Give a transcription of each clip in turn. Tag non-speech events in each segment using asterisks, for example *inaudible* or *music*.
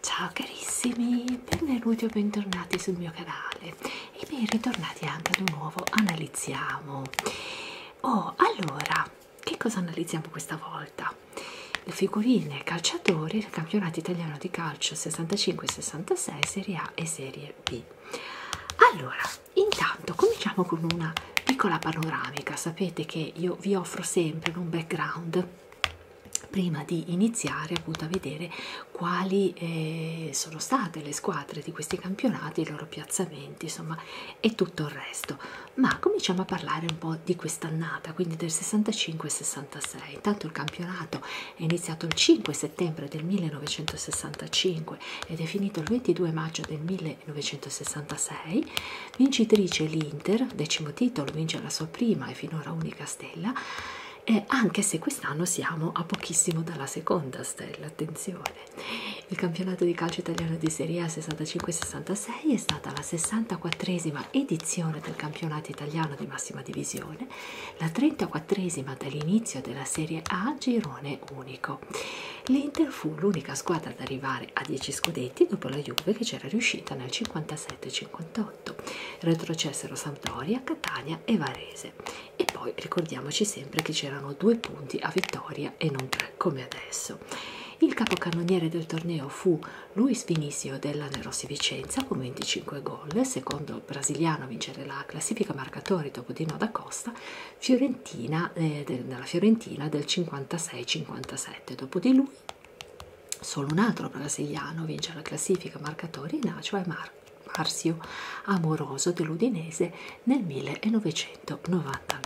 Ciao carissimi, benvenuti o bentornati sul mio canale e ben ritornati anche ad un nuovo analizziamo. Oh, allora, che cosa analizziamo questa volta? Le figurine calciatori del campionato italiano di calcio 65-66 Serie A e Serie B allora intanto cominciamo con una piccola panoramica sapete che io vi offro sempre un background prima di iniziare appunto a vedere quali eh, sono state le squadre di questi campionati i loro piazzamenti insomma e tutto il resto ma cominciamo a parlare un po' di quest'annata quindi del 65 66 intanto il campionato è iniziato il 5 settembre del 1965 ed è finito il 22 maggio del 1966. Vincitrice l'Inter, decimo titolo, vince la sua prima e finora unica stella, eh, anche se quest'anno siamo a pochissimo dalla seconda stella, attenzione. Il campionato di calcio italiano di Serie A 65-66 è stata la 64esima edizione del campionato italiano di massima divisione la 34esima dall'inizio della Serie A girone unico. L'Inter fu l'unica squadra ad arrivare a 10 scudetti dopo la Juve che c'era riuscita nel 57-58. Retrocessero Sampdoria, Catania e Varese. E poi ricordiamoci sempre che c'erano due punti a vittoria e non tre come adesso. Il capocannoniere del torneo fu Luis Vinicio della Nerossi Vicenza con 25 gol, secondo brasiliano a vincere la classifica marcatori dopo Dino da Costa festa fiorentina eh, della Fiorentina del 56-57. Dopo di lui, solo un altro brasiliano vince la classifica marcatori in A, cioè Mar Marzio Amoroso dell'Udinese nel 1999.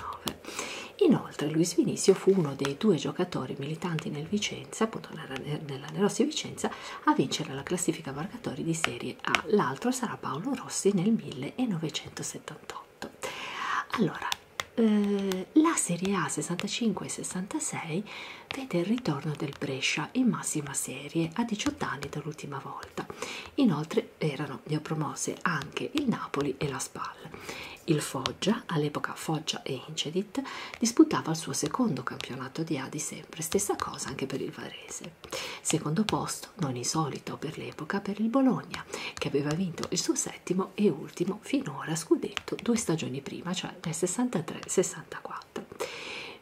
Inoltre Luis Vinicio fu uno dei due giocatori militanti nel Vicenza, appunto nella, nella Nerossi Vicenza, a vincere la classifica marcatori di Serie e ah, l'altro sarà Paolo Rossi nel 1978. Allora, eh, la Serie A 65 e 66 vede il ritorno del Brescia in massima serie a 18 anni dall'ultima volta. Inoltre erano neopromosse anche il Napoli e la Spal. Il Foggia, all'epoca Foggia e Incedit, disputava il suo secondo campionato di A di sempre, stessa cosa anche per il Varese. Secondo posto posto non insolito per l'epoca per il Bologna che aveva vinto il suo settimo e ultimo finora scudetto due stagioni prima cioè nel 63-64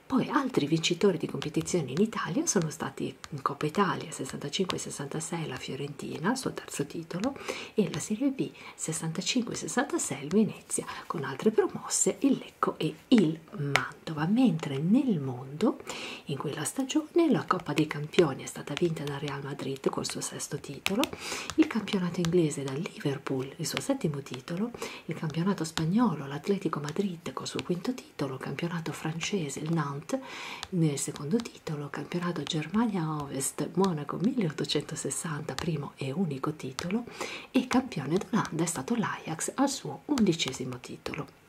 poi altri vincitori di competizioni in Italia sono stati in Coppa Italia 65-66 la Fiorentina il suo terzo titolo e la Serie B 65-66 il Venezia con altre promosse il Lecco e il Mantova, mentre nel mondo in quella stagione la Coppa dei Campioni è stata vinta dal Real Madrid col suo sesto titolo, il campionato inglese dal Liverpool il suo settimo titolo, il campionato spagnolo l'Atletico Madrid col suo quinto titolo, il campionato francese il Nantes nel secondo titolo, campionato Germania Ovest Monaco 1860 primo e unico titolo e campione d'Olanda è stato l'Ajax al suo undicesimo titolo.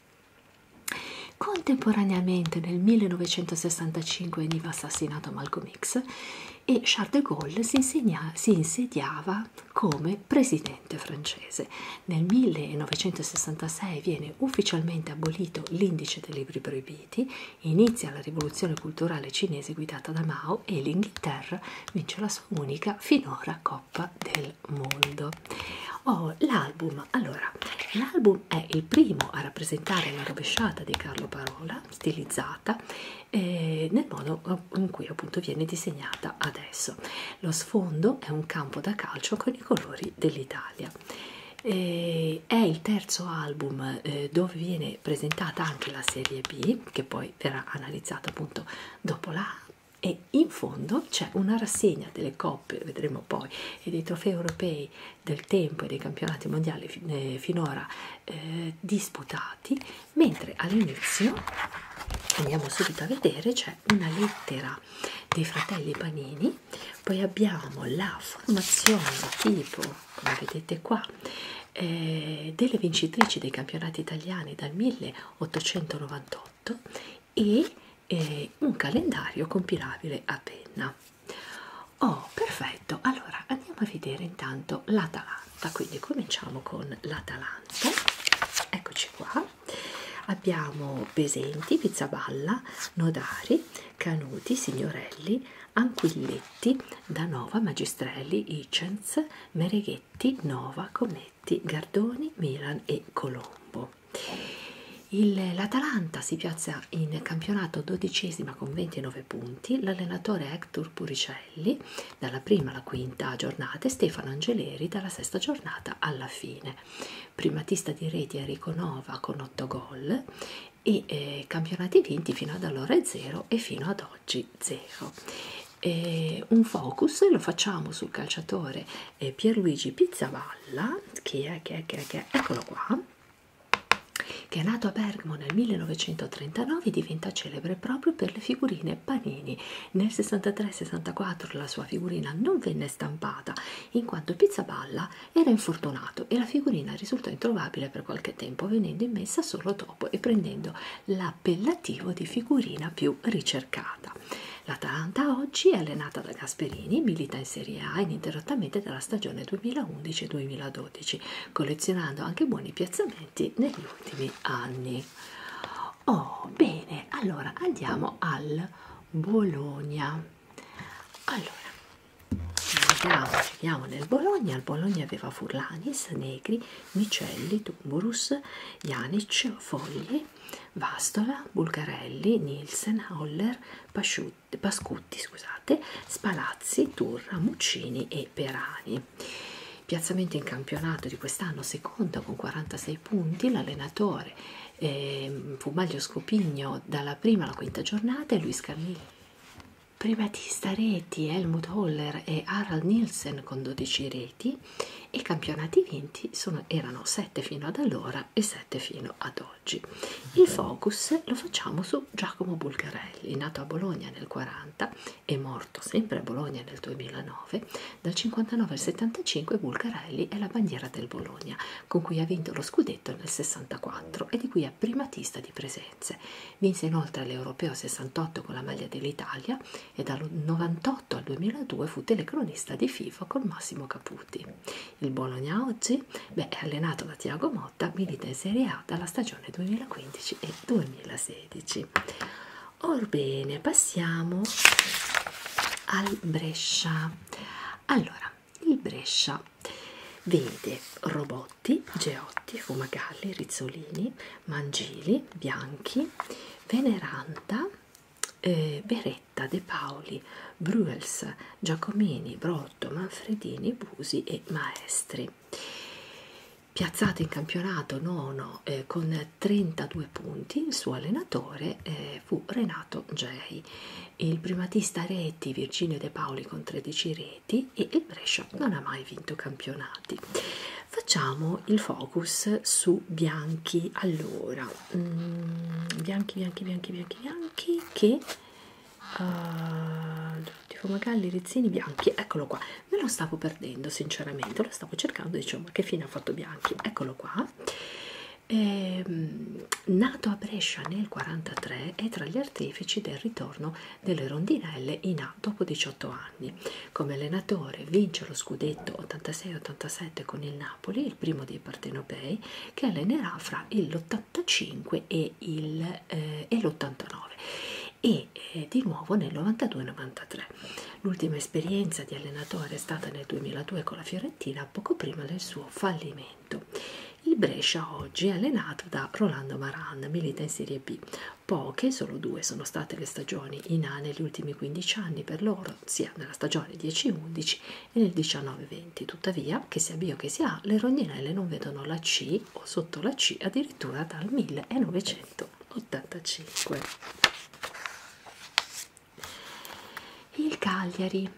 Contemporaneamente nel 1965 veniva assassinato Malcolm X e Charles de Gaulle si, insegna, si insediava come presidente francese. Nel 1966 viene ufficialmente abolito l'indice dei libri proibiti, inizia la rivoluzione culturale cinese guidata da Mao e l'Inghilterra vince la sua unica finora pop del mondo. Oh, l'album, allora, l'album è il primo a rappresentare la rovesciata di Carlo Parola, stilizzata eh, nel modo eh, in cui appunto viene disegnata adesso. Lo sfondo è un campo da calcio con i colori dell'Italia. Eh, è il terzo album eh, dove viene presentata anche la serie B, che poi verrà analizzata appunto dopo la e in fondo c'è una rassegna delle coppe, vedremo poi, e dei trofei europei del tempo e dei campionati mondiali fin eh, finora eh, disputati, mentre all'inizio, andiamo subito a vedere, c'è una lettera dei fratelli Panini, poi abbiamo la formazione tipo, come vedete qua, eh, delle vincitrici dei campionati italiani dal 1898 e e un calendario compilabile a penna. Oh, perfetto! Allora andiamo a vedere intanto l'Atalanta. Quindi cominciamo con l'Atalanta. Eccoci qua. Abbiamo Besenti, Pizzaballa, Nodari, Canuti, Signorelli, Anquilletti, Danova, Magistrelli, Icens, Mereghetti, Nova, Cometa, Spalletti, Gardoni, Milan e Colombo. L'Atalanta si piazza in campionato dodicesima con 29 punti, l'allenatore Hector Puricelli dalla prima alla quinta giornata e Stefano Angeleri dalla sesta giornata alla fine. Primatista di reti Enrico Nova con 8 gol e eh, campionati vinti fino ad allora è 0 e fino ad oggi 0. E eh, un focus lo facciamo sul calciatore eh, Pierluigi Pizzaballa, che è, che è, che è, che è, eccolo qua, che è nato a Bergamo nel 1939 e diventa celebre proprio per le figurine Panini. Nel 63-64 la sua figurina non venne stampata in quanto Pizzaballa era infortunato e la figurina risultò introvabile per qualche tempo venendo immessa solo dopo e prendendo l'appellativo di figurina più ricercata ricercata. L'Atalanta oggi è allenata da Gasperini, milita in Serie A ininterrottamente dalla stagione 2011-2012, collezionando anche buoni piazzamenti negli ultimi anni. Oh, bene, allora andiamo al Bologna. Allora, andiamo, andiamo nel Bologna. Il Bologna aveva Furlanis, Negri, Micelli, Tumburus, Janic, Fogli, Ferrari, Vastola, Bulgarelli, Nielsen, Holler, Pasciutti, Pascutti, scusate, Spalazzi, Turra, Muccini e Perani. Piazzamento in campionato di quest'anno seconda con 46 punti, l'allenatore eh, fu Maglio Scopigno dalla prima alla quinta giornata e Luis Camillo. Privatista reti Helmut Holler e Harald Nielsen con 12 reti, e i campionati vinti sono, erano 7 fino ad allora e 7 fino ad oggi. Il focus lo facciamo su Giacomo Bulgarelli, nato a Bologna nel 40 e morto sempre a Bologna nel 2009. Dal 59 al 75 Bulgarelli è la bandiera del Bologna, con cui ha vinto lo scudetto nel 64 e di cui è primatista di presenze. Vinse inoltre l'Europeo 68 con la maglia dell'Italia e dal 98 al 2002 fu telecronista di FIFA col massimo capo saputi. Il Bologna oggi beh, è allenato da Tiago Motta, milita in Serie A dalla stagione 2015 e 2016. Orbene, passiamo al Brescia. Allora, il Brescia vede Robotti, Geotti, Fumagalli, Rizzolini, Mangili, Bianchi, Veneranda, eh, Beretta, De Paoli, Bruels, Giacomini, Brotto, Manfredini, Busi e Maestri. Piazzato in campionato nono eh, con 32 punti, il suo allenatore eh, fu Renato Gei, il primatista reti Virginio De Paoli con 13 reti e il Brescia non ha mai vinto campionati. Facciamo il focus su Bianchi allora mm, bianchi bianchi bianchi bianchi bianchi che uh, eh, tipo magalli rizzini bianchi eccolo qua me lo stavo perdendo sinceramente lo stavo cercando diciamo che fine ha fatto bianchi eccolo qua e, ehm, nato a Brescia nel 43 è tra gli artefici del ritorno delle rondinelle in A dopo 18 anni come allenatore vince lo scudetto 86-87 con il Napoli il primo dei dei partenopei che allenerà fra l'85 e l'89 eh, e eh, di nuovo nel 92-93. L'ultima esperienza di allenatore è stata nel 2002 con la Fiorentina poco prima del suo fallimento. Il Brescia oggi è allenato da Rolando Maran, milita in Serie B. Poche, solo due, sono state le stagioni in A negli ultimi 15 anni per loro, sia nella stagione 10-11 e nel 1920 tuttavia che sia B o che sia A le rondinelle non vedono la C o sotto la C addirittura dal 1985 il Cagliari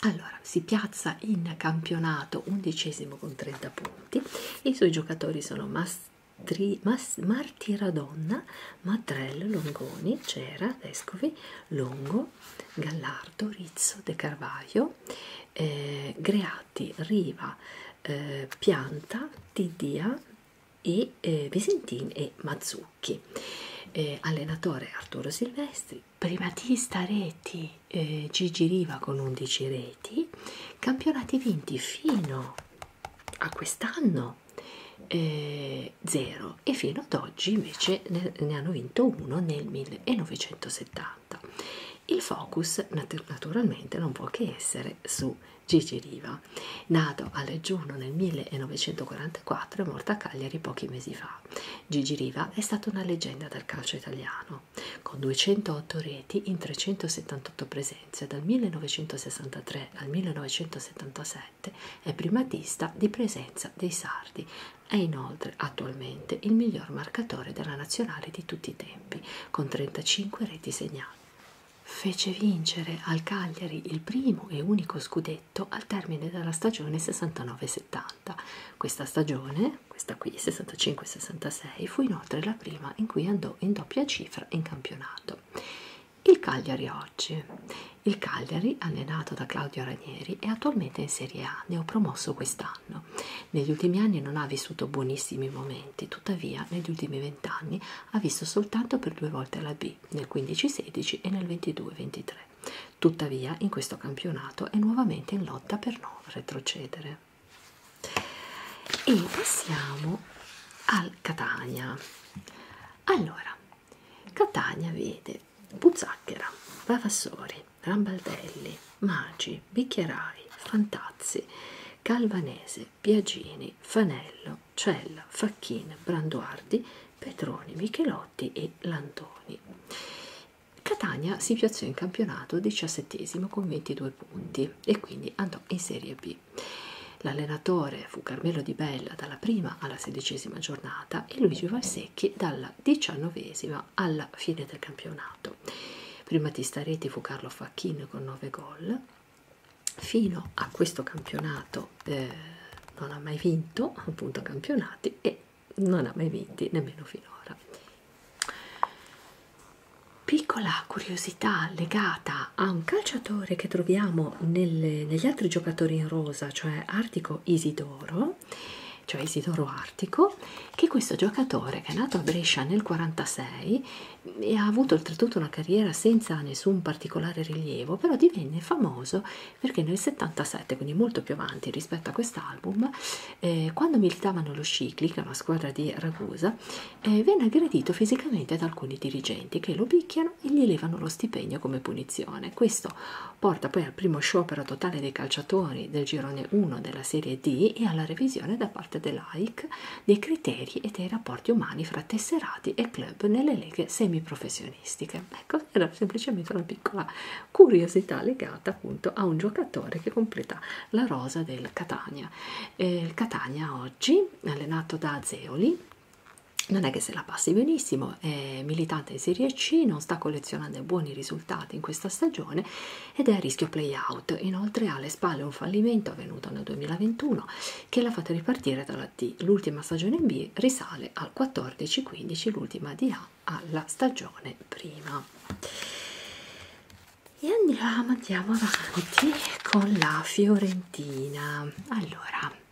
allora si piazza in campionato undicesimo con 30 punti i suoi giocatori sono Mastri, Mas, Martiradonna Matrello, Longoni, Cera, Vescovi, Longo, Gallardo, Rizzo, De Carvaio, eh, Greati, Riva, eh, Pianta, Tidia e eh, Visentin e Mazzucchi. Eh, allenatore Arturo Silvestri, primatista reti eh, Gigi Riva con 11 reti, campionati vinti fino a quest'anno eh, zero e fino ad oggi invece ne, ne hanno vinto uno nel 1970. Il focus nat naturalmente non può che essere su Gigi Riva, nato a Leggiuno nel 1944 e morto a Cagliari pochi mesi fa. Gigi Riva è stata una leggenda del calcio italiano, con 208 reti in 378 presenze dal 1963 al 1977 è primatista di presenza dei sardi. È inoltre attualmente il miglior marcatore della nazionale di tutti i tempi, con 35 reti segnali. Fece vincere al Cagliari il primo e unico scudetto al termine della stagione 69-70. Questa stagione, questa qui 65-66, fu inoltre la prima in cui andò in doppia cifra in campionato. Il Cagliari oggi. Il Cagliari, allenato da Claudio Ranieri, è attualmente in Serie A, neopromosso quest'anno. Negli ultimi anni non ha vissuto buonissimi momenti, tuttavia negli ultimi vent'anni ha visto soltanto per due volte la B, nel 15-16 e nel 22-23. Tuttavia in questo campionato è nuovamente in lotta per non retrocedere. E passiamo al Catania. Allora, Catania vede Buzzacchera, Vavassori, Rambaldelli, Magi, Bicchierai, Fantazzi, Calvanese, Biagini, Fanello, Cella, Facchin, Branduardi, Petroni, Michelotti e Lantoni. Catania si piazzò in campionato diciassettesimo con 22 punti e quindi andò in Serie B. L'allenatore fu Carmelo Di Bella Mattarella dalla prima alla sedicesima giornata e Luigi Valsecchi dalla diciannovesima alla fine del campionato. Primatista reti fu Carlo Facchin con 9 gol. Fino a questo campionato eh, non ha mai vinto, appunto campionati, e non ha mai vinti nemmeno finora. Piccola curiosità legata a un calciatore che troviamo sono nelle, negli altri giocatori in rosa, cioè Artico Isidoro, cioè Isidoro Artico, che questo giocatore che è nato a Brescia nel 1946 e ha avuto oltretutto una carriera senza nessun particolare rilievo, però divenne famoso perché nel 77, quindi molto più avanti rispetto a quest'album, eh, quando militavano lo Scicli, che è una squadra di Ragusa, eh, venne aggredito fisicamente da alcuni dirigenti che lo picchiano licenziano e gli levano lo stipendio come punizione. Questo porta poi al primo sciopero totale dei calciatori del girone 1 della Serie D e alla revisione da parte dell'AIC dei criteri e dei rapporti umani fra tesserati e club nelle leghe semiprofessionistiche. Ecco, era semplicemente una piccola curiosità legata appunto a un giocatore che completa la rosa del Catania. Eh, il Catania oggi, allenato da Zeoli, non è che se la passi benissimo, è militante in Serie C, non sta collezionando buoni risultati in questa stagione ed è a rischio play-out. Inoltre ha alle spalle un fallimento avvenuto nel 2021 che l'ha fatto ripartire dalla D. L'ultima stagione in B risale al 14-15, l'ultima di A alla stagione prima. E andiamo, andiamo avanti con la Fiorentina. Allora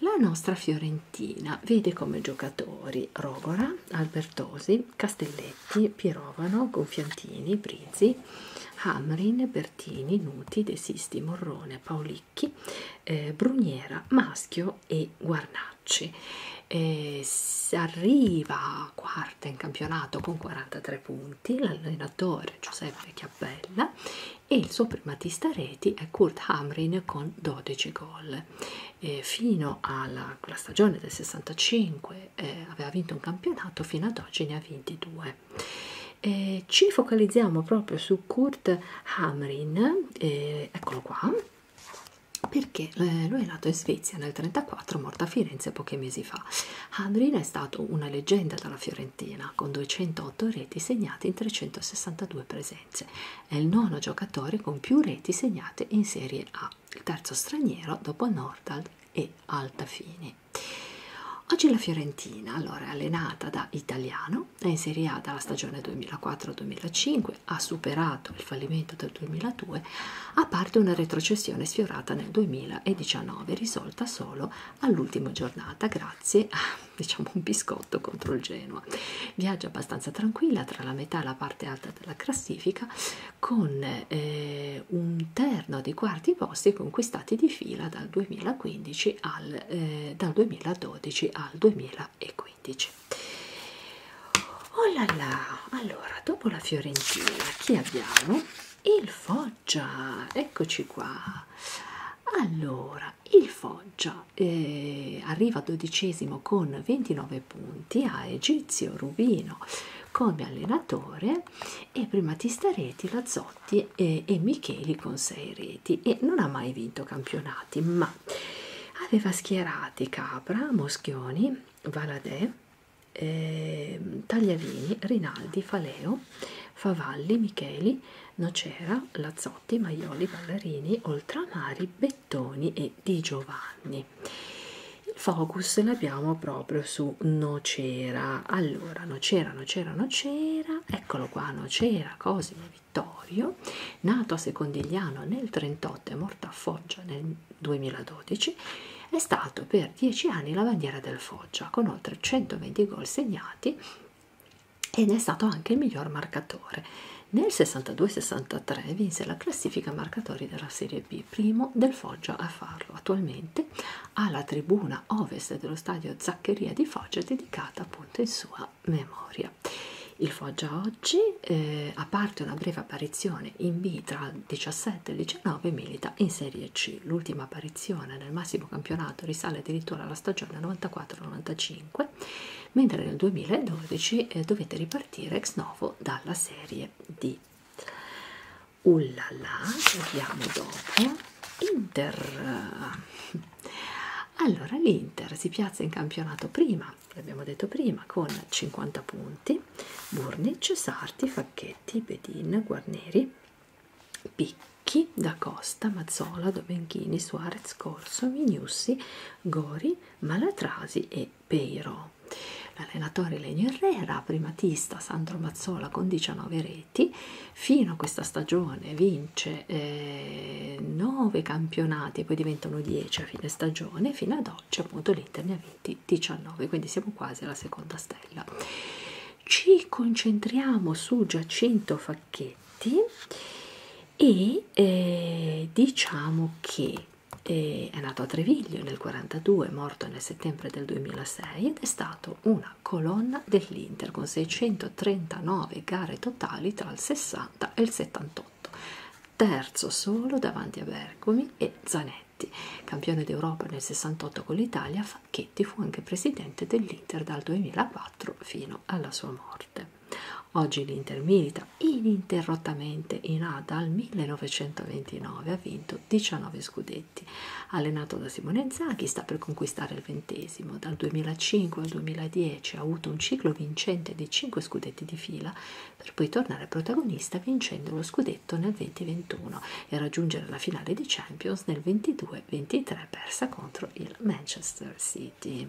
la nostra Fiorentina vede come giocatori Rogora, Albertosi, Castelletti, Pirovano, Gonfiantini, Brizzi, Hamrin, Bertini, Nuti, De Sisti, Morrone, Paolicchi, eh, Bruniera, Maschio e Guarnacci. Eh, si arriva quarta in campionato con 43 punti l'allenatore Giuseppe Chiappella e il suo primatista reti è Kurt Hamrin con 12 gol. Eh, fino alla stagione del 65 eh, aveva vinto un campionato, fino ad oggi ne ha vinti due. Eh, ci focalizziamo proprio su Kurt Hamrin, eh, eccolo qua, perché eh, lui è nato in Svezia nel 1934, morto a Firenze pochi mesi fa. Hamrin è stato una leggenda dalla Fiorentina, con 208 reti segnate in 362 presenze presenze. È il nono giocatore con più reti segnate in Serie A, il terzo straniero dopo Nordal e Altafini. Oggi la Fiorentina, allora allenata da Italiano, è in Serie A dalla stagione 2004-2005, ha superato il fallimento del 2002, a parte una retrocessione sfiorata nel 2019, risolta solo all'ultima giornata grazie a diciamo un biscotto contro il Genoa. Viaggia abbastanza tranquilla tra la metà e la parte alta della classifica con eh, un terno di quarti posti conquistati di fila dal 2015 al eh, dal 2012 al 2015. Oh là là! Allora, dopo la Fiorentina, chi abbiamo? Il Foggia, eccoci qua. Allora, il Foggia eh, arriva dodicesimo con 29 punti a Egizio Rubino come allenatore e prima Tistareti, Lazzotti e, eh, e Micheli con 6 reti e non ha mai vinto campionati ma aveva schierati Capra, Moschioni, Valadè, eh, Tagliavini, Rinaldi, Faleo, Favalli, Micheli, Nocera, Lazzotti Giovanotti, Maioli, Ballerini, Oltramari, Bettoni e Di Giovanni. Il focus l'abbiamo proprio su Nocera. Allora, Nocera, Nocera, Nocera, eccolo qua, Nocera, Cosimo Vittorio, nato a Secondigliano nel 38 e morto a Foggia nel 2012, è stato per 10 anni la bandiera del Foggia con oltre 120 gol segnati ed è stato anche il miglior marcatore. Nel 62-63 vinse la classifica marcatori della Serie B, primo del Foggia a farlo. Attualmente ha la tribuna ovest dello stadio Zaccheria di Foggia dedicata appunto in sua memoria. Il Foggia oggi, eh, a parte una breve apparizione in B tra il 17 e il 19, milita in Serie C. L'ultima apparizione nel massimo campionato risale addirittura alla stagione 94-95 2005, mentre nel 2012 eh, dovete ripartire ex novo dalla serie di Ullala, vediamo dopo, Inter. Allora l'Inter si piazza in campionato prima, l'abbiamo detto prima, con 50 punti, Burnic, Sarti, Facchetti, Bedin, Guarneri, Picchi, Da Costa, Mazzola, Domenghini, Suarez, scorso Vignussi, Gori, Malatrasi e Peiro. L'allenatore Lenio Herrera, primatista Sandro Mazzola con 19 reti, fino a questa stagione vince eh, 9 campionati, poi diventano 10 a fine stagione, fino ad oggi appunto l'Inter ne ha vinti 19, quindi siamo quasi alla seconda stella. Ci concentriamo su Giacinto Facchetti e eh, diciamo che eh, è nato a Treviglio nel 42, morto nel settembre del 2006 ed è stato una colonna dell'Inter con 639 gare totali tra il 60 e il 78, terzo solo davanti a Bergomi e Zanetti. Campione d'Europa nel 68 con l'Italia, Facchetti fu anche presidente dell'Inter dal 2004 fino alla sua morte. Oggi l'Inter milita ininterrottamente in A dal 1929, ha vinto 19 scudetti. Allenato da Simone Zaghi, sta per conquistare il ventesimo. Dal 2005 al 2010 ha avuto un ciclo vincente di 5 scudetti di fila, per poi tornare protagonista vincendo lo scudetto nel 2021 e raggiungere la finale di Champions nel 22-23 persa contro il Manchester City.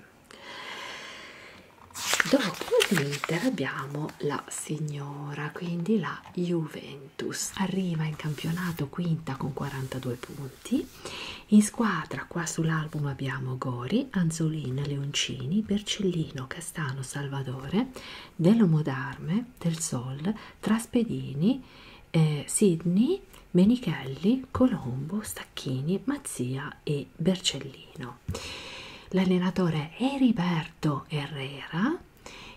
Dopo l'Inter abbiamo la signora, quindi la Juventus. Arriva in campionato quinta con 42 punti. In squadra qua sull'album abbiamo Gori, Anzolina, Leoncini, Bercellino, Castano, Salvatore, Dell'Omodarme, Del Sol, Traspedini, eh, Sidney Menichelli, Colombo, Stacchini, Mazzia e Bercellino. L'allenatore Heriberto Herrera,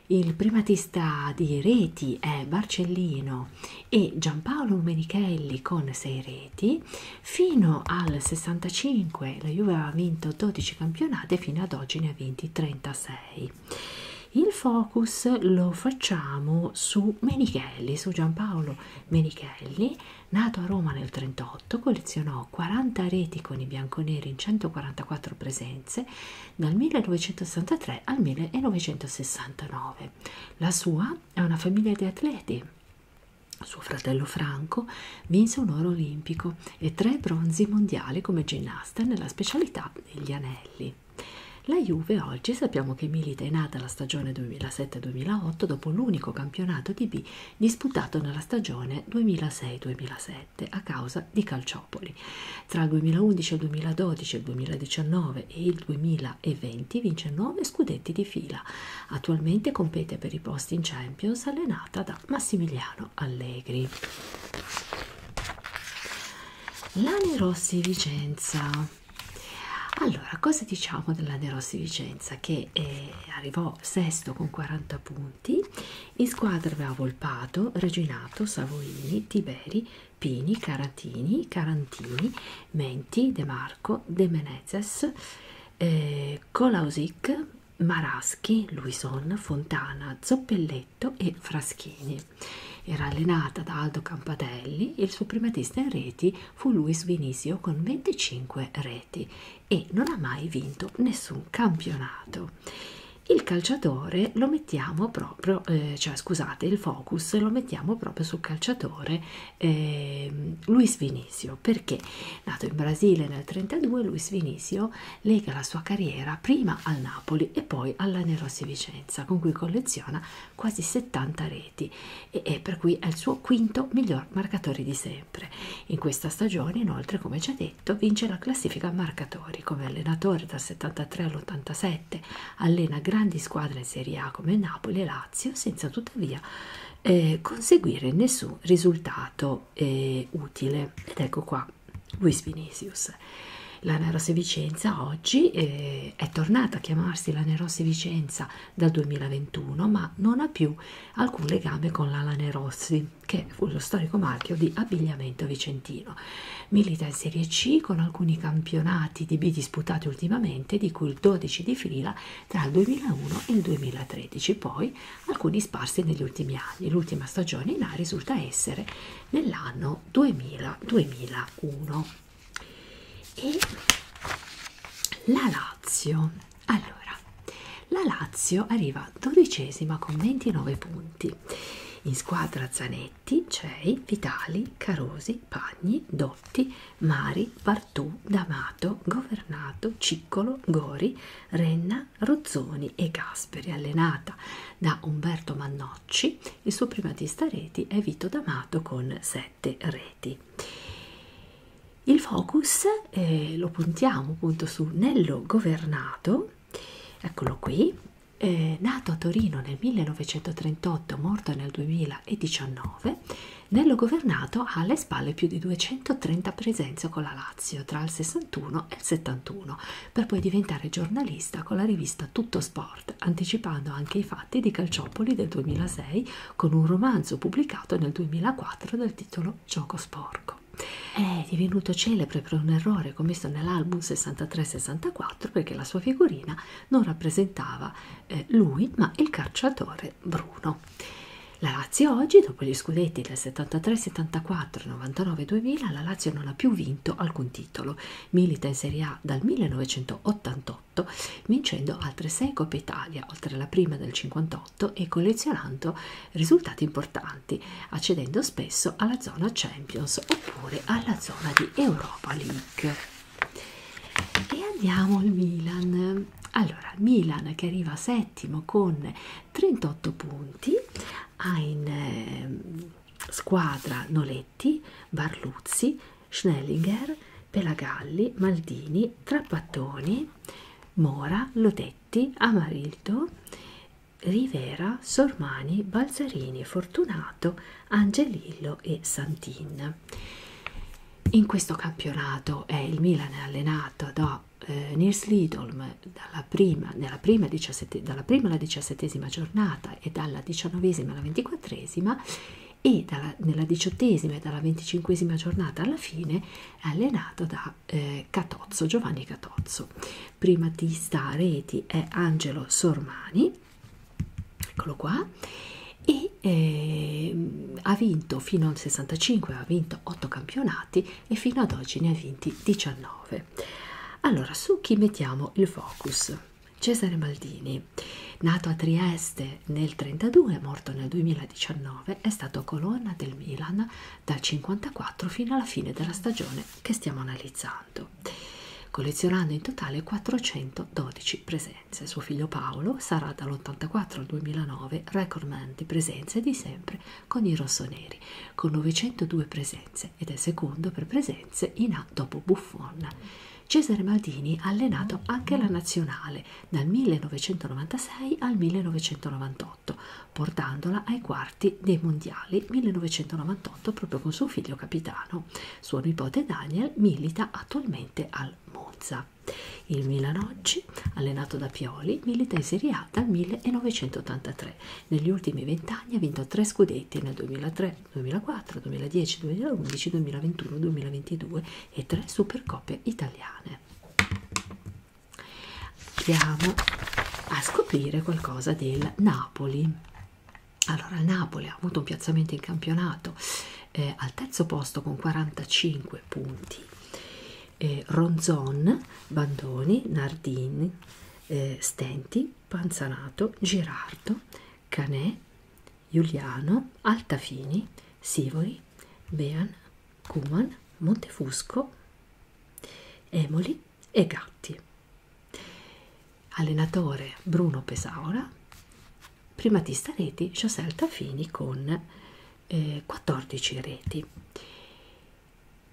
il primatista di reti è Barcellino e Giampaolo Menichelli con 6 reti. Fino al 65 la Juve ha vinto 12 campionate, fino ad oggi ne ha vinti 36. Il focus lo facciamo su Menichelli, su Giampaolo Menichelli Nato a Roma nel 1938, collezionò 40 reti con i bianconeri in 144 presenze dal 1963 al 1969. La sua è una famiglia di atleti. Suo fratello Franco vinse un oro olimpico e tre bronzi mondiali come ginnasta nella specialità degli anelli. La Juve oggi sappiamo che milita in nata la stagione 2007 2007-2008 dopo l'unico campionato di B disputato nella stagione 2006-2007 a causa di Calciopoli. Tra il 2011 il 2012, il 2019 e il 2020 vince 9 scudetti di fila. Attualmente compete per i posti in Champions allenata da Massimiliano Allegri. Lani Rossi Vicenza allora, cosa diciamo della De Rossi Vicenza? Che eh, arrivò sesto con 40 punti, in squadra aveva Volpato, Reginato, Savoini, Tiberi, Pini, Caratini, Carantini, Menti, De Marco, De Menezes, eh, Colausic, Maraschi, Luison, Fontana, Zoppelletto e Fraschini. Era allenata da Aldo Campatelli, il suo primatista in reti fu Luis Vinisio con 25 reti e non ha mai vinto nessun campionato. Il calciatore lo mettiamo proprio, eh, cioè scusate, il focus lo mettiamo proprio sul calciatore eh, Luis Vinisio perché nato in Brasile nel 32 Luis Vinisio lega la sua carriera prima al Napoli e poi alla Nerossi Vicenza con cui colleziona quasi 70 reti reti e, e per cui è il suo quinto miglior marcatore di sempre. In questa stagione inoltre come ci ha detto vince la classifica marcatori come allenatore dal 73 all'87, allena grandi squadre in Serie A come Napoli e Lazio senza tuttavia eh, conseguire nessun risultato eh, utile ed ecco qua Luis Vinicius. La Nerose Vicenza oggi eh, è tornata a chiamarsi la Nerose Vicenza dal 2021, ma non ha più alcun legame con l'Alane Rossi, che fu lo storico marchio di abbigliamento vicentino. Milita in Serie C con alcuni campionati di B disputati ultimamente, di cui il 12 di fila tra il 2001 e il 2013, poi alcuni sparsi negli ultimi anni. L'ultima stagione in A risulta essere nell'anno 2000-2001 e la Lazio allora la Lazio arriva dodicesima con 29 punti in squadra Zanetti, Cei, Vitali, Carosi, Pagni, Dotti, Mari, Bartù, D'Amato, Governato, Ciccolo, Gori, Renna, Rozzoni e Gasperi allenata da Umberto Mannocci, il suo primatista reti è Vito D'Amato con 7 7 reti. Il focus eh, lo puntiamo appunto su Nello Governato, eccolo qui, eh, nato a Torino nel 1938, morto nel 2019. Nello Governato ha alle spalle più di 230 presenze con la Lazio tra il 61 e il 71, per poi diventare giornalista con la rivista Tutto Sport, anticipando anche i fatti di Calciopoli del 2006 con un romanzo pubblicato nel 2004 dal titolo Gioco sporco. È divenuto celebre per un errore commesso nell'album 63-64 perché la sua figurina non rappresentava eh, lui ma il calciatore Bruno. La Lazio oggi, dopo gli scudetti del 73-74, 99-2000, la Lazio non ha più vinto alcun titolo. Milita in Serie A dal 1988 58, vincendo altre 6 Coppe Italia, oltre alla prima del 58 e collezionando risultati importanti, accedendo spesso alla zona Champions oppure alla zona di Europa League. E andiamo al Milan. Allora, Milan che arriva settimo con 38 punti, ha in eh, squadra Noletti, Barluzzi, Schnellinger, Pelagalli, Maldini, Trappattoni, Mora, Lodetti, Amarildo, Rivera, Sormani, Balzarini, Fortunato, Angelillo e Santin. In questo campionato è il Milan è allenato da eh, Nils Lidolm dalla prima, nella prima, 17, dalla prima alla diciassettesima giornata e dalla diciannovesima alla ventiquattresima e dalla, nella diciottesima e dalla venticinquesima giornata alla fine è allenato da eh, Catozzo, Giovanni Catozzo. Prima di sta Reti è Angelo Sormani, eccolo qua, e eh, ha vinto fino al 65, ha vinto 8 campionati e fino ad oggi ne ha vinti 19. Allora, su chi mettiamo il focus? Cesare Maldini Giovanni, nato a Trieste nel 1932 e morto nel 2019, è stato colonna del Milan dal 1954 fino alla fine della stagione che stiamo analizzando, collezionando in totale 412 presenze. Suo figlio Paolo sarà dall'84 al 2009 recordman di presenze di sempre con i rossoneri, con 902 presenze ed è secondo per presenze in A dopo Buffon. Cesare Maldini ha allenato anche la nazionale dal 1996 al 1998, portandola ai quarti dei mondiali 1998 proprio con suo figlio capitano. Suo nipote Daniel milita attualmente al Monza. Il Milan oggi, allenato da Pioli, milita in Serie A dal 1983. Negli ultimi vent'anni ha vinto tre scudetti nel 2003, 2004, 2010, 2011, 2021, 2022 e tre supercoppe italiane. Andiamo a scoprire qualcosa del Napoli. Allora, il Napoli ha avuto un piazzamento in campionato eh, al terzo posto con 45 punti. Eh, Ronzon, Bandoni, Nardini, eh, Stenti, Panzanato, Girardo, Canè, Giuliano, Altafini, Sivori, Bean, Cuman, Montefusco, Emoli e Gatti. Allenatore Bruno Pesaura, primatista reti José Altafini con eh, 14 reti.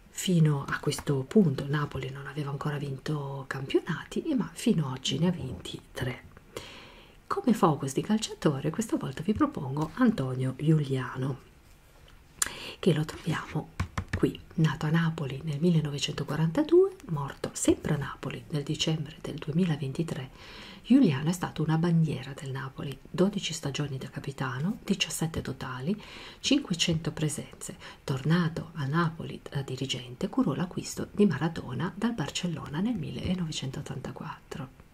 Fino a questo punto Napoli non aveva ancora vinto campionati, ma fino ad oggi ne ha vinti 3. Come focus di calciatore questa volta vi propongo Antonio Giuliano, che lo troviamo qui, nato a Napoli nel 1942, morto sempre a Napoli nel dicembre del 2023. Giuliano è stato una bandiera del Napoli, 12 stagioni da capitano, 17 totali, 500 presenze. Tornato a Napoli da dirigente, curò l'acquisto di Maradona dal Barcellona nel 1984.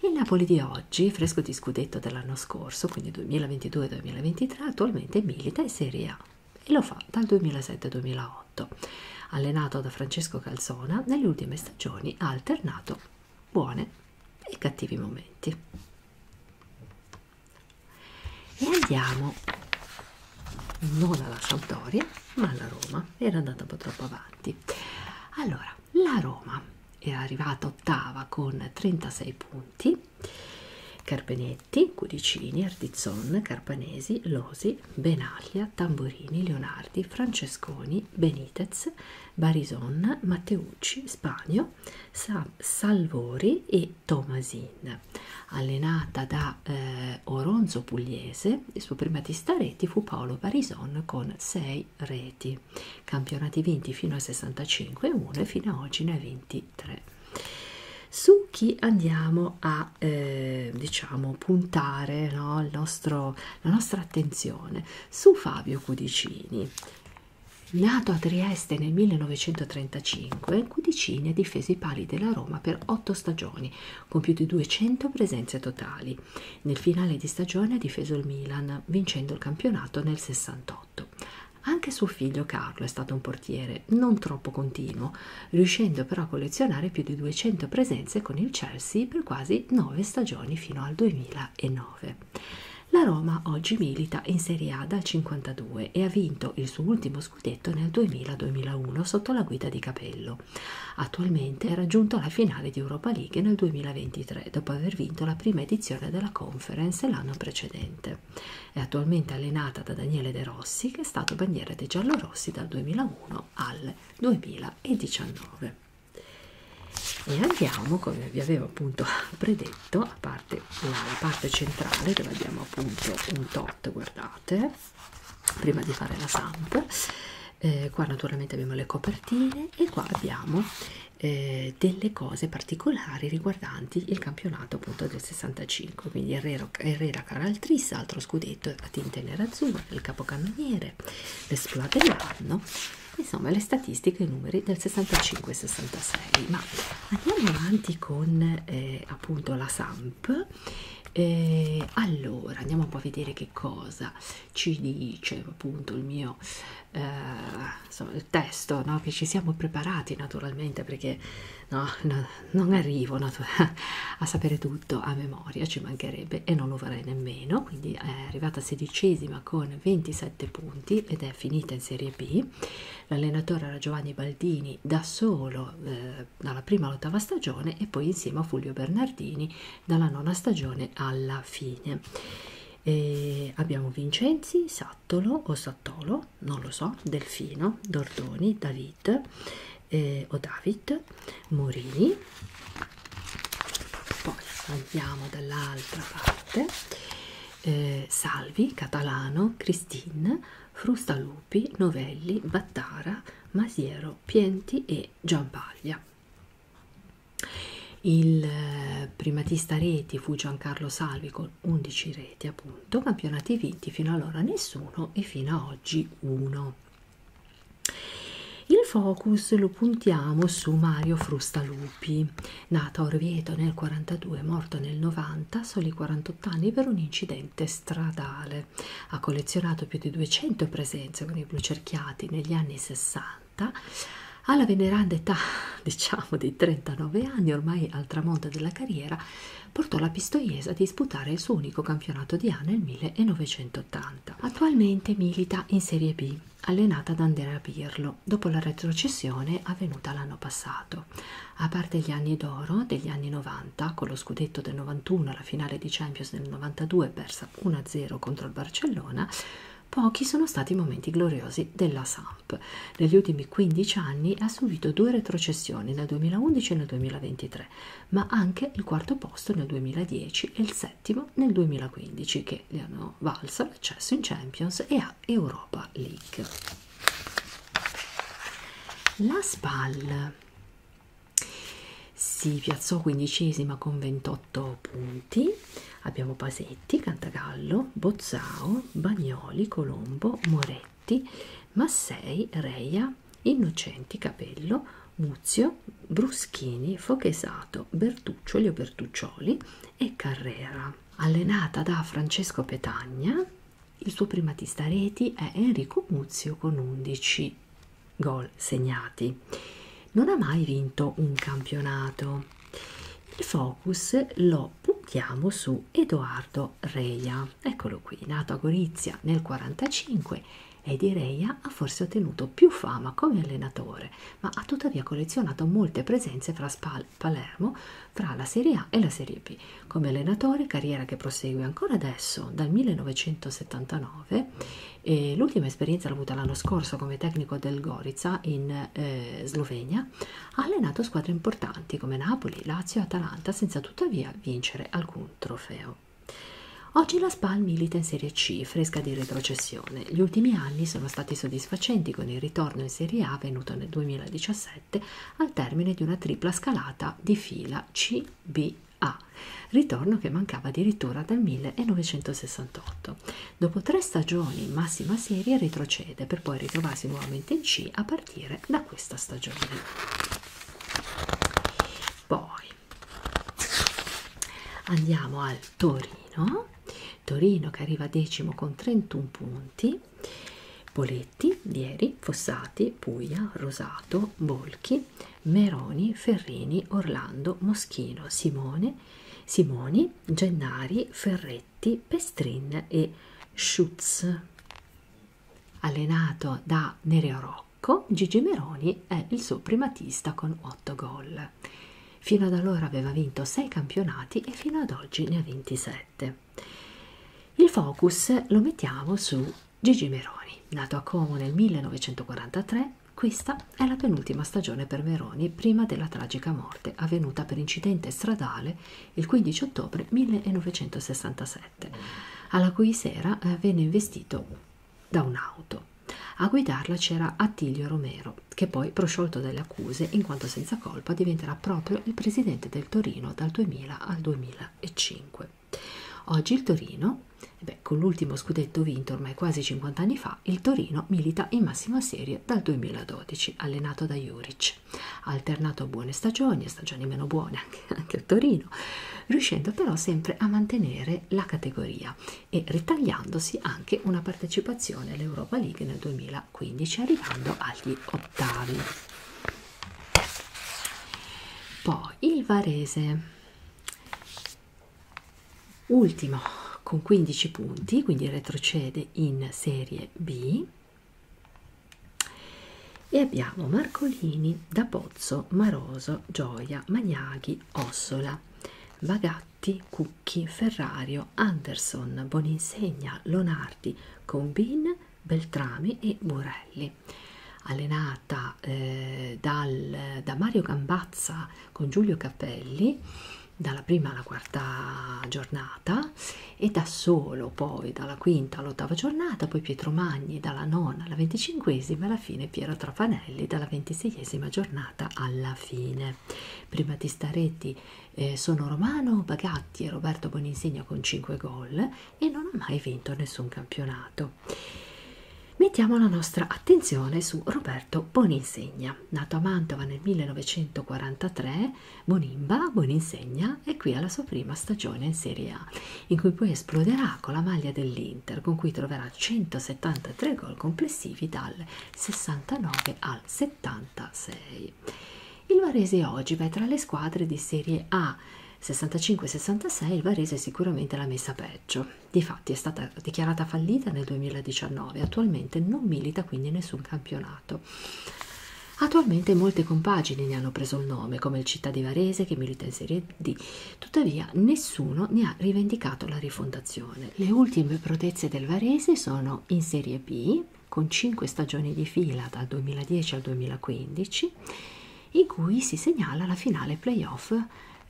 Il Napoli di oggi, fresco di scudetto dell'anno scorso, quindi 2022-2023, attualmente milita in Serie A e lo fa dal 2007-2008. Allenato da Francesco Calzona, nelle ultime stagioni ha alternato buone e cattivi momenti. E andiamo non alla Sampdoria, ma alla Roma. Era andata un po' troppo avanti. Allora, la Roma è arrivata ottava con 36 punti. Carpenetti, Cudicini, Artizzon, Carpanesi, Losi, Benaglia, Tamburini, Leonardi, Francesconi, Benitez, Barison, Matteucci, Spagno, Salvori e Tomasin. Allenata da eh, Oronzo Pugliese, finale, il suo primatista reti fu Paolo Barison con 6 reti, campionati vinti fino a 65 1 e fino a oggi ne ha 23. Su chi andiamo a eh, diciamo puntare no, il nostro, la nostra attenzione? Su Fabio Cudicini. Nato a Trieste nel 1935, Cudicini ha difeso i pali della Roma per otto stagioni, compiute 200 presenze totali. Nel finale di stagione ha difeso il Milan, vincendo il campionato nel 68. Anche suo figlio Carlo è stato un portiere non troppo continuo, riuscendo però a collezionare più di 200 presenze con il Chelsea per quasi 9 stagioni fino al 2009. La Roma oggi milita in Serie A dal 52 e ha vinto il suo ultimo scudetto nel 2000-2001 sotto la guida di Capello. Attualmente è raggiunto la finale di Europa League nel 2023, dopo aver vinto la prima edizione della conference l'anno precedente. È attualmente allenata da Daniele De Rossi, che è stato bandiera dei giallorossi dal 2001 al 2019. E andiamo, come vi avevo appunto *laughs* predetto, a parte la parte centrale dove abbiamo appunto un tot, guardate, prima di fare la samp, eh, qua naturalmente abbiamo le copertine e qua abbiamo eh, delle cose particolari riguardanti il campionato appunto del 65 quindi Herrera, Herrera Caraltris altro scudetto a tinte nerazzurre il capocannoniere l'esploit dell'anno insomma le statistiche e i numeri del 65 e 66 ma andiamo avanti con eh, appunto la Samp eh, allora andiamo un po' a vedere che cosa ci dice appunto il mio eh, insomma, il testo no? che ci siamo preparati naturalmente perché no, no, non arrivo *laughs* a sapere tutto a memoria, ci mancherebbe e non lo farei nemmeno, quindi è arrivata sedicesima con 27 punti ed è finita in Serie B. L'allenatore era Giovanni Baldini da solo eh, dalla prima all'ottava stagione e poi insieme a Fulvio Bernardini dalla nona stagione alla fine. E abbiamo Vincenzi, Sattolo o Sattolo, non lo so, Delfino, Dordoni, David eh, o David, Morini. Poi andiamo dall'altra parte. Eh, Salvi, Catalano, Christine, Frustalupi, Novelli, Battara, Masiero, Pienti e Giampaglia. Il eh, primatista reti fu Giancarlo Salvi con 11 reti, appunto, campionati vinti fino allora nessuno e fino a oggi uno. Il focus lo puntiamo su Mario Frustalupi, nato a Orvieto nel 42, morto nel 90, soli 48 anni per un incidente stradale. Ha collezionato più di 200 presenze con i blucerchiati negli anni 60 Santa, alla veneranda età *laughs* diciamo di 39 anni, ormai al tramonto della carriera, portò la Pistoiese a disputare il suo unico campionato di A nel 1980. Attualmente milita in Serie B, allenata da Andrea Pirlo, dopo la retrocessione avvenuta l'anno passato. A parte gli anni d'oro degli anni 90, con lo scudetto del 91 alla finale di Champions del 92 persa 1-0 contro il Barcellona, pochi sono stati i momenti gloriosi della Samp. Negli ultimi 15 anni ha subito due retrocessioni nel 2011 e nel 2023, ma anche il quarto posto nel 2010 e il settimo nel 2015 che le hanno valso l'accesso in Champions e a Europa League. La SPAL si piazzò quindicesima con 28 punti. Abbiamo Pasetti, Cantagallo, Bozzao, Bagnoli, Colombo, Moretti, Massei, Reia, Innocenti, Capello, Muzio, Bruschini, Fochesato, Bertuccioli o Bertuccioli e Carrera. Allenata da Francesco Petagna, il suo primatista reti è Enrico Muzio con 11 gol segnati. Non ha mai vinto un campionato. Il focus lo puntiamo su Edoardo Reia. Eccolo qui, nato a Gorizia nel 1945 e di Reia ha forse ottenuto più fama come allenatore, ma ha tuttavia collezionato molte presenze fra Spal Palermo, fra la Serie A e la Serie B. Come allenatore, carriera che prosegue ancora adesso, dal 1979, e l'ultima esperienza l'ho avuta l'anno scorso come tecnico del Gorica in eh, Slovenia. Ha allenato squadre importanti come Napoli, Lazio e Atalanta senza tuttavia vincere alcun trofeo. Oggi la Spal milita in Serie C, fresca di retrocessione. Gli ultimi anni sono stati soddisfacenti con il ritorno in Serie A avvenuto nel 2017 al termine di una tripla scalata di fila CBA ritorno che mancava addirittura dal 1968. Dopo tre stagioni in massima serie retrocede per poi ritrovarsi nuovamente in C a partire da questa stagione. Poi andiamo al Torino, Torino che arriva decimo con 31 punti. Poletti, Vieri, Fossati, Puglia, Rosato, Bolchi, Meroni, Ferrini, Orlando, Moschino, Simone, Simoni, Gennari, Ferretti, Pestrin e Schutz. Allenato da Nereo Rocco, Gigi Meroni è il suo primatista con 8 gol. Fino ad allora aveva vinto 6 campionati e fino ad oggi ne ha 27. Il focus lo mettiamo su Gigi Meroni, nato a Como nel 1943, questa è la penultima stagione per Meroni prima della tragica morte avvenuta per incidente stradale il 15 ottobre 1967, alla cui sera eh, venne investito da un'auto. A guidarla c'era Attilio Romero, che poi, prosciolto dalle accuse in quanto senza colpa, diventerà proprio il presidente del Torino dal 2000 al 2005. Oggi il Torino Beh, con l'ultimo scudetto vinto ormai quasi 50 anni fa, il Torino milita in massima serie dal 2012, allenato da Juric. Ha alternato buone stagioni e stagioni meno buone anche, *laughs* anche a Torino, riuscendo però sempre a mantenere la categoria e ritagliandosi anche una partecipazione all'Europa League nel 2015, arrivando agli ottavi. Poi il Varese ultimo con 15 punti quindi retrocede in serie B e abbiamo Marcolini, Da Pozzo, Maroso, Gioia, Magnaghi, Ossola, Bagatti, Cucchi, Ferrario, Anderson, Boninsegna, Lonardi, Combin, Beltrami e Borelli allenata eh, dal, da Mario Gambazza con Giulio Cappelli dalla prima alla quarta giornata e da solo poi dalla quinta all'ottava giornata, poi Pietro Magni dalla nona alla venticinquesima e alla fine Piero Trapanelli dalla ventiseiesima giornata alla fine. Prima di Staretti eh, sono Romano Bagatti e Roberto Boninsegna con 5 gol e non ha mai vinto nessun campionato. Mettiamo la nostra attenzione su Roberto Boninsegna, nato a Mantova nel 1943, Bonimba, Boninsegna è qui alla sua prima stagione in Serie A, in cui poi esploderà con la maglia dell'Inter, con cui troverà 173 gol complessivi dal 69 al 76. Il Varese oggi va tra le squadre di Serie A 65-66, il Varese è sicuramente la messa peggio Difatti è stata dichiarata fallita nel 2019 e attualmente non milita quindi nessun campionato. Attualmente molte compagini ne hanno preso il nome, come il Città di Varese che milita in Serie D, tuttavia nessuno ne ha rivendicato la rifondazione. Le ultime protezze del Varese sono in Serie B, con 5 stagioni di fila dal 2010 al 2015, in cui si segnala la finale playoff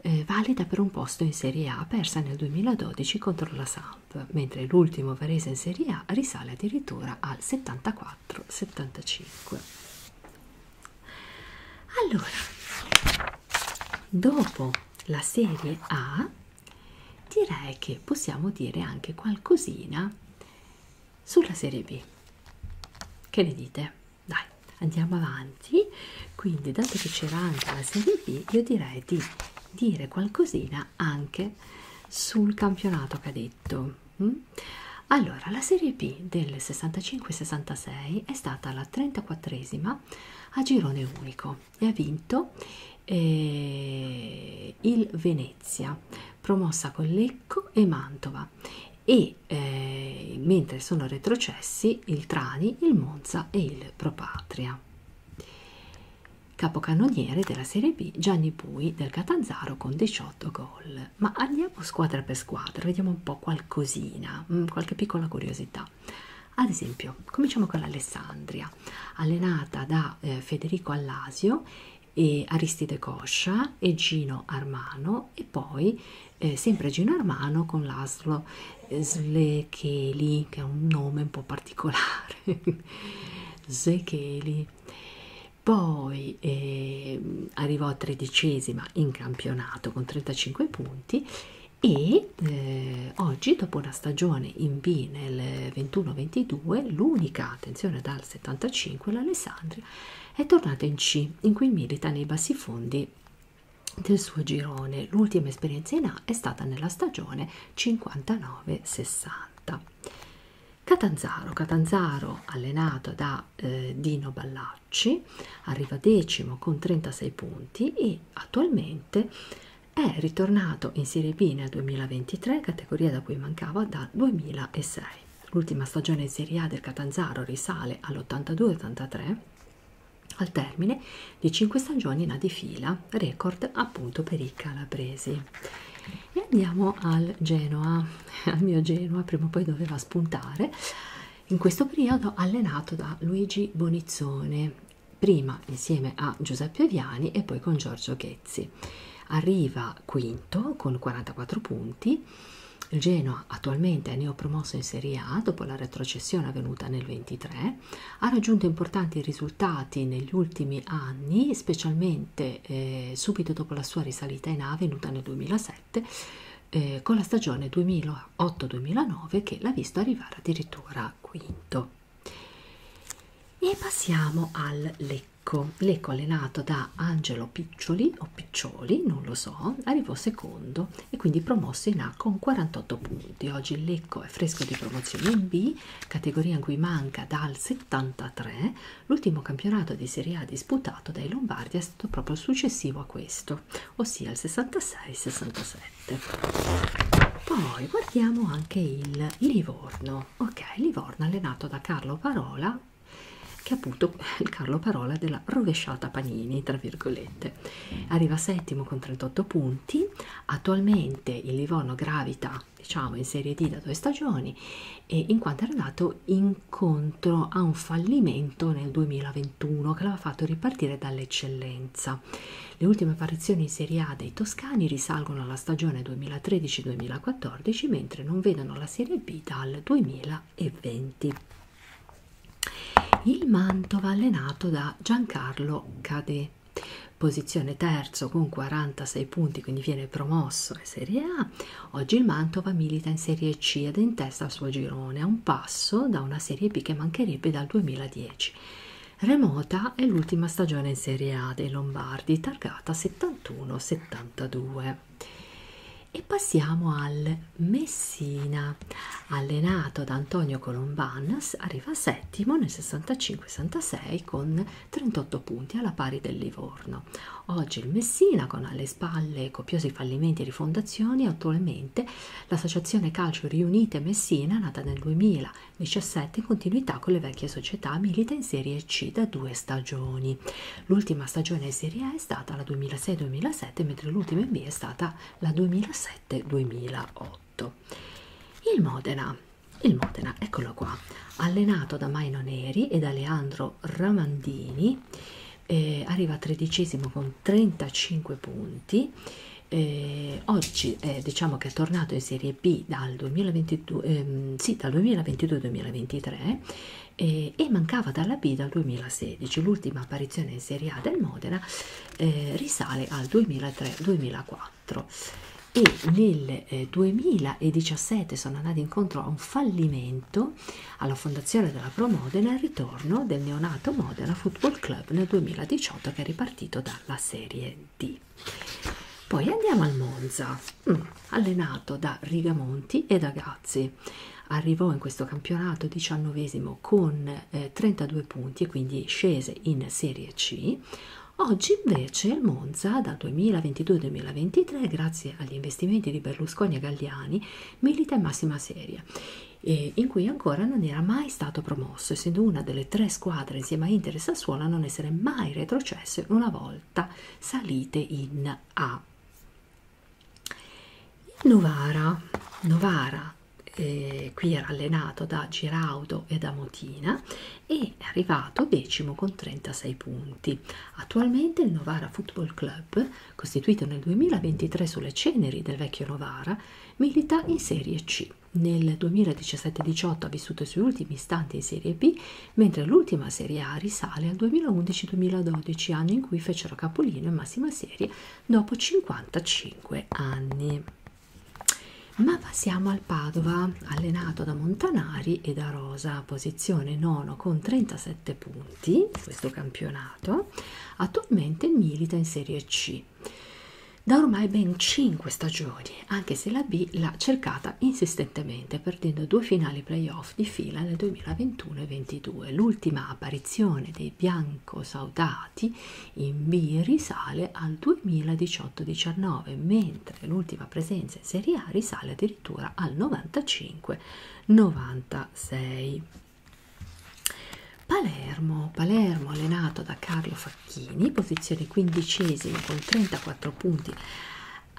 eh, valida per un posto in Serie A persa nel 2012 contro la Samp, mentre l'ultimo Varese in Serie A risale addirittura al 74-75. Allora, dopo la Serie A direi che possiamo dire anche qualcosina sulla Serie B. Che ne dite? Dai, andiamo avanti avanti quindi dato che c'era anche la serie B io direi di dire qualcosina anche sul campionato cadetto mm? allora la serie B del 65-66 è stata la 34esima a girone unico e ha vinto eh, il Venezia promossa con Lecco e Mantova e eh, mentre sono retrocessi il Trani, il Monza Monza e il Propatria. Capocannoniere della Serie B Gianni Pui del Catanzaro con 18 gol. Ma andiamo squadra per squadra, vediamo un po' qualcosina, mm, qualche piccola curiosità. Ad esempio, cominciamo con l'Alessandria, allenata da eh, Federico Allasio e Aristide Coscia e Gino Armano e poi eh, sempre Gino Armano con l'Aslo Slecheli, che ha un nome un po' particolare, *laughs* Zecheli. Poi eh, arrivò a tredicesima in campionato con 35 punti e eh, oggi dopo una stagione in B nel 21-22 l'unica attenzione dal 75 l'Alessandria è tornata in C in cui milita nei bassi fondi del suo girone. L'ultima esperienza in A è stata nella stagione 59-60. Catanzaro, Catanzaro allenato da eh, Dino Ballacci, arriva decimo con 36 punti e attualmente è ritornato in Serie B nel 2023, categoria da cui mancava dal 2006. L'ultima stagione in Serie A del Catanzaro risale all'82-83 al termine di 5 stagioni la defila, record appunto per i calabresi. E andiamo al Genoa, *laughs* al mio Genoa, prima o poi doveva spuntare, in questo periodo allenato da Luigi Bonizzone, prima insieme a Giuseppe Viani e poi con Giorgio Ghezzi. Arriva quinto con 44 punti. Il Genoa attualmente è neopromosso in Serie A dopo la retrocessione avvenuta nel 23 ha raggiunto importanti risultati negli ultimi anni, specialmente eh, subito dopo la sua risalita in A avvenuta nel 2007, eh, con la stagione 2008-2009 che l'ha visto arrivare addirittura quinto. E passiamo al Lecco. Lecco allenato da Angelo Piccioli o Piccioli, non lo so, arrivò secondo secondo e quindi promosso in A con 48 punti. Oggi il Lecco è fresco di promozione in B, categoria in cui manca dal 73. L'ultimo campionato di Serie A disputato dai Lombardi è stato proprio successivo a questo, ossia il 66-67. Poi guardiamo anche il Livorno, ok, Livorno allenato da Carlo Parola che appunto è il Carlo Parola della rovesciata Panini, tra virgolette volte arriva settimo con 38 punti attualmente il Livorno gravita diciamo in Serie D da due stagioni e in quanto era andato incontro a un fallimento nel 2021 che l'aveva fatto ripartire dall'eccellenza le ultime apparizioni in Serie A dei toscani risalgono alla stagione 2013-2014 mentre non vedono la Serie B dal 2020 il Mantova allenato da Giancarlo Cadè, posizione terzo con 46 punti, quindi viene promosso in Serie A. Oggi il Mantova milita in Serie C ed è in testa al suo girone, a un passo da una Serie B che mancherebbe dal 2010. Remota è l'ultima stagione in Serie A dei Lombardi, targata 71-72. E passiamo al Messina, allenato da Antonio Colomban, arriva settimo nel 65-66 con 38 punti alla pari del Livorno. Oggi il Messina, con alle spalle copiosi fallimenti e rifondazioni, attualmente l'associazione calcio Riunite Messina, nata nel 2017 in continuità con le vecchie società, milita in Serie C da due stagioni. L'ultima stagione in Serie A è stata la 2006-2007, mentre l'ultima in B è stata la 2007-2008. 2008. Il Modena, il Modena, eccolo qua, allenato da Maino Neri ed Aleandro Ramandini, eh, arriva tredicesimo con 35 punti. Eh, oggi eh, diciamo che è tornato in Serie B dal 2022-2023 ehm, sì, dal 2022 eh, e mancava dalla B dal 2016. L'ultima apparizione in Serie A del Modena eh, risale al 2003-2004 e nel eh, 2017 sono andati incontro a un fallimento alla fondazione della Pro Modena e al ritorno del neonato Modena Football Club nel 2018 che è ripartito dalla Serie D. Poi andiamo al Monza, mm, allenato da Rigamonti e da Gazzi. Arrivò in questo campionato 19 primo con eh, 32 punti e quindi scese in Serie C. Oggi invece il Monza dal 2022-2023 grazie agli investimenti di Berlusconi e Galliani milita in massima serie e in cui ancora non era mai stato promosso essendo una delle tre squadre insieme a Inter e Sassuolo a non essere mai retrocesse una volta salite in A. Il Novara, Novara eh, qui era allenato da Giraudo e da Motina e è arrivato decimo con 36 punti. Attualmente il Novara Football Club, costituito nel 2023 sulle ceneri del vecchio Novara, milita in Serie C. Nel 2017-18 ha vissuto i suoi ultimi istanti in Serie B, mentre l'ultima Serie A risale al 2011-2012, anno in cui fecero capolino in massima serie dopo 55 anni. Ma passiamo al Padova, allenato da Montanari e da Rosa, posizione 9 con 37 punti, questo campionato, attualmente milita in Serie C. Da ormai ben 5 stagioni, anche se la B l'ha cercata insistentemente, perdendo due finali playoff di fila nel 2021 e 2022. L'ultima apparizione dei bianchi Franco Saudati in B risale al 2018-19, mentre l'ultima presenza in Serie A risale addirittura al 95-96. Palermo, Palermo allenato da Carlo Facchini, posizione quindicesima con 34 punti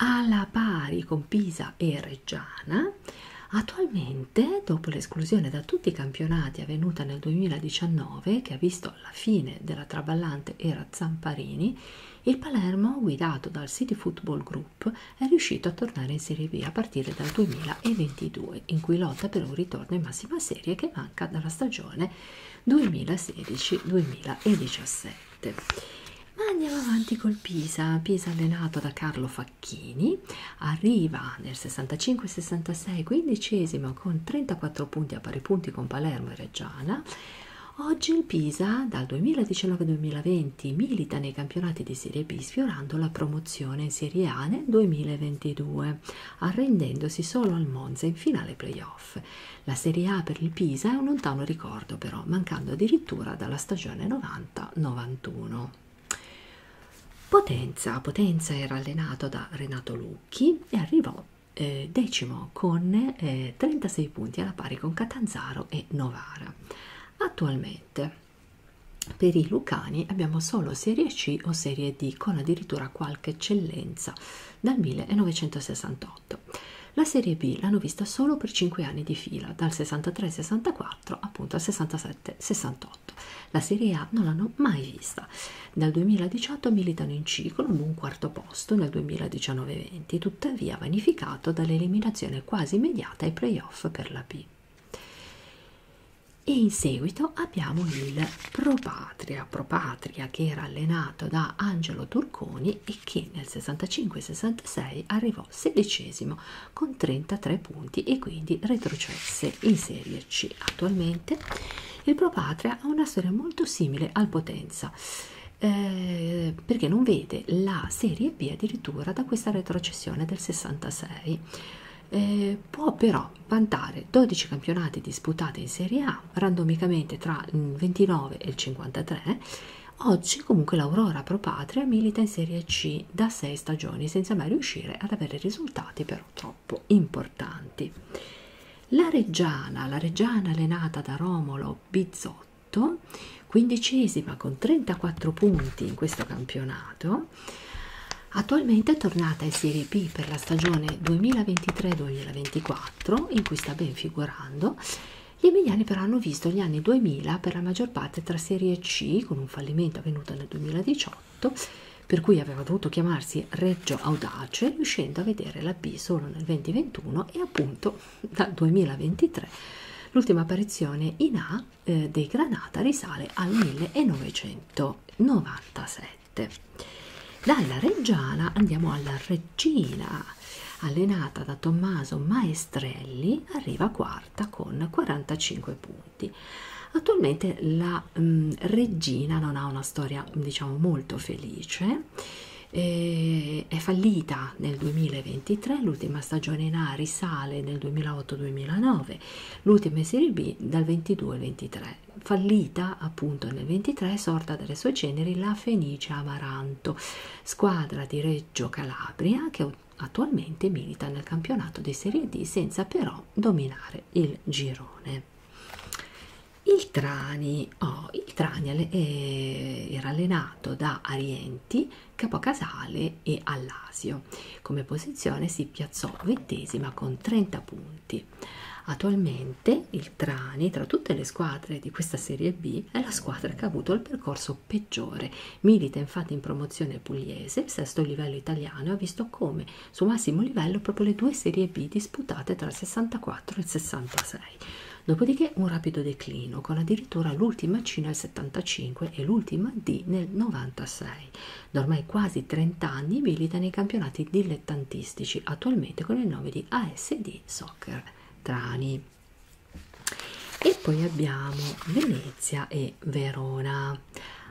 alla pari con Pisa e Reggiana. Attualmente, dopo l'esclusione da tutti i campionati avvenuta nel 2019, che ha visto arrivato alla fine della traballante era Zamparini, il Palermo, guidato dal City Football Group, è riuscito a tornare in Serie B a partire dal 2022, in cui lotta per un ritorno in massima serie che manca dalla stagione 2016-2017. Ma andiamo avanti col Pisa, Pisa allenato da Carlo Facchini, arriva nel 65-66 quindicesimo con 34 4 punti a pari punti con Palermo e Reggiana. Oggi il Pisa dal 2019-2020 milita nei campionati di Serie B sfiorando la promozione in Serie A nel 2022, arrendendosi solo al Monza in finale playoff. La Serie A per il Pisa è un lontano ricordo però, mancando addirittura dalla stagione 90-91. Potenza. Potenza era allenato da Renato Lucchi, e arrivò eh, decimo con eh, 36 punti alla pari con Catanzaro e Novara. Attualmente per i lucani abbiamo solo serie C o serie D con addirittura qualche eccellenza dal 1968. La serie B l'hanno vista solo per 5 anni di fila, dal 63-64 appunto al 67-68. 2018. La Serie A non l'hanno mai vista. Dal 2018 militano in C con un buon quarto posto nel 2019-20, tuttavia vanificato dall'eliminazione quasi immediata ai playoff per la B. E in seguito abbiamo il Propatria, Propatria che era allenato da Angelo Turconi e che nel 65-66 arrivò sedicesimo con 33 punti e quindi retrocesse in Serie esserci attualmente, il Propatria ha una storia molto simile al Potenza, eh, perché non vede la Serie B addirittura da questa retrocessione del 66. Eh, può però vantare 12 campionati disputati in Serie A, randomicamente tra il 29 e il 53. Oggi comunque l'Aurora Propatria milita in Serie C da 6 stagioni senza mai riuscire ad avere risultati però troppo troppo importanti. La Reggiana, la Reggiana allenata da Romolo Bizotto, quindicesima con 34 punti in questo campionato, attualmente è tornata in Serie B per la stagione 2023-2024, in cui sta ben figurando. Gli emiliani però hanno visto gli anni 2000 per la maggior parte tra Serie C, con un fallimento avvenuto nel 2018, 18, per cui aveva dovuto chiamarsi Reggio Audace, riuscendo a vedere la B solo nel 2021 e appunto dal 2023 l'ultima apparizione in A eh, dei Granata risale al 1997. Dalla Reggiana andiamo alla Reggina, allenata da Tommaso Maestrelli, arriva quarta con 45 punti. Attualmente la la ehm, mh, regina non ha una storia diciamo molto felice e è fallita nel 2023 l'ultima stagione in A risale nel 2008-2009 l'ultima serie B dal 22 al 23 fallita appunto nel 23 sorta dalle sue ceneri la Fenice Amaranto squadra di Reggio Calabria che attualmente milita nel campionato di Serie D senza però dominare il girone il Trani, oh, il Trani eh, era allenato da Arienti, Capocasale e Allasio. Come posizione si piazzò ventesima con 30 punti. Attualmente il Trani, tra tutte le squadre di questa Serie B, è la squadra che ha avuto il percorso peggiore. Milita infatti in promozione pugliese, sesto livello italiano, e ha visto come su massimo livello proprio le due serie B disputate tra il 64 e il 66. Dopodiché un rapido declino, con addirittura l'ultima C nel 75 e l'ultima D nel 96. Da ormai quasi 30 anni milita nei campionati dilettantistici, attualmente con il nome di ASD Soccer Trani. E poi abbiamo Venezia e Verona.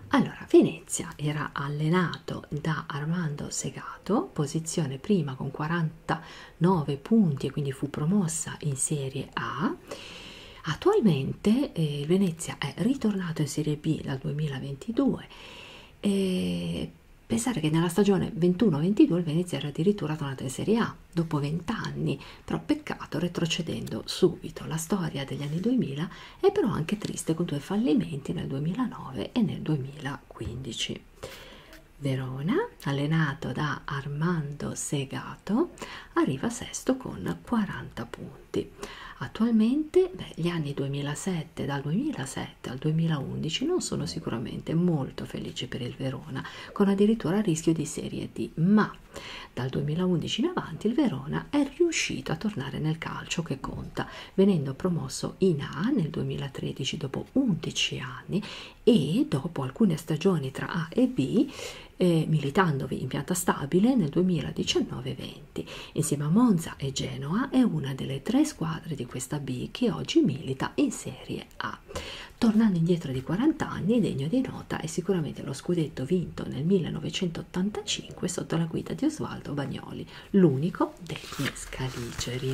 Allora, Venezia era allenata firmato da Armando Segato, posizione prima con 49 punti e quindi fu promossa in Serie A. Attualmente eh, Venezia è ritornato in Serie B dal 2022 e pensare che nella stagione 21-22 il Venezia era addirittura tornato in Serie A dopo 20 anni, però peccato retrocedendo subito. La storia degli anni 2000 e però anche triste con due fallimenti nel 2009 e nel 2015. Verona, allenato da Armando Segato, arriva sesto con 40 punti. Attualmente beh, gli anni 2007, dal 2007 al 2011 non sono sicuramente molto felici per il Verona, con addirittura rischio di Serie D, ma dal 2011 in avanti il Verona è riuscito a tornare nel calcio che conta, venendo promosso in A nel 2013 dopo 11 anni e dopo alcune stagioni tra A e B eh, militandovi in pianta stabile nel 2019-20. Insieme a Monza e Genoa è una delle tre squadre di questa B che oggi milita in Serie A. Tornando indietro di 40 anni, degno di nota è sicuramente lo scudetto vinto nel 1985 sotto la guida di Osvaldo Bagnoli, l'unico degli scaligeri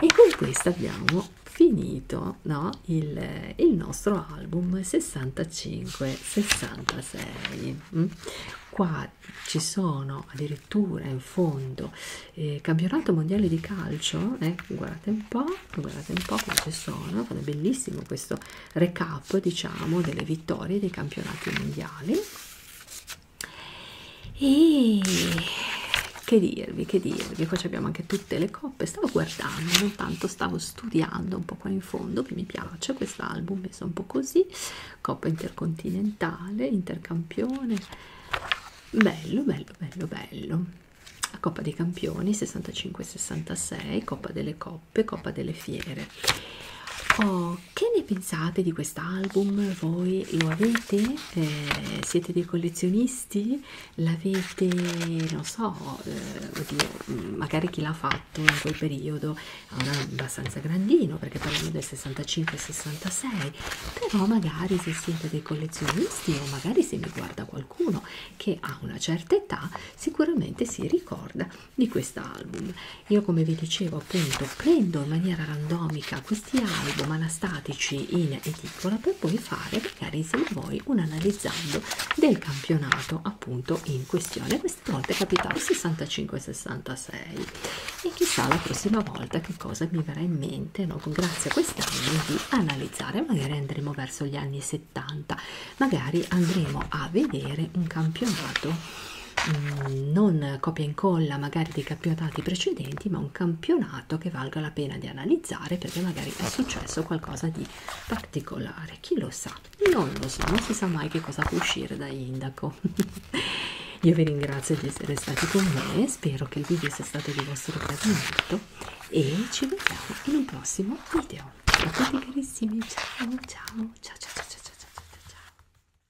e con questo abbiamo finito no, il, il nostro album 65 66 mm? qua ci sono addirittura in fondo eh, campionato mondiale di calcio eh, guardate un po' guardate un po' qua ci sono è bellissimo questo recap diciamo delle vittorie dei campionati mondiali e che dirvi che dirvi qua abbiamo anche tutte le coppe stavo guardando non tanto stavo studiando un po' qua in fondo che mi piace quest'album messo un po' così coppa intercontinentale intercampione bello bello bello bello la coppa dei campioni 65 66 coppa delle coppe coppa delle fiere ho che ne pensate di quest'album? Voi lo avete? Eh, siete dei collezionisti? L'avete, non so, eh, oddio, mm, magari chi l'ha fatto in quel periodo era abbastanza grandino perché parliamo del 65-66, però magari se siete dei collezionisti o magari se mi guarda qualcuno che ha una certa età sicuramente si ricorda di quest'album io come vi dicevo appunto prendo in maniera randomica questi album anastatici in edicola per poi fare magari insieme a voi un analizzando del campionato appunto in questione questa volta è capitato 65 66 e chissà la prossima volta che cosa mi verrà in mente no? grazie a quest'anno di analizzare magari andremo verso gli anni 70 magari andremo a vedere un campionato mh, mm, non copia e incolla magari dei campionati precedenti, ma un campionato che valga la pena di analizzare perché magari è successo qualcosa di particolare. Chi lo sa? Non lo so, non si sa mai che cosa può uscire da Indaco. *laughs* Io vi ringrazio di essere stati con me, spero che il video sia stato di vostro gradimento e ci vediamo in un prossimo video. A tutti carissimi, ciao ciao ciao ciao ciao ciao ciao ciao ciao.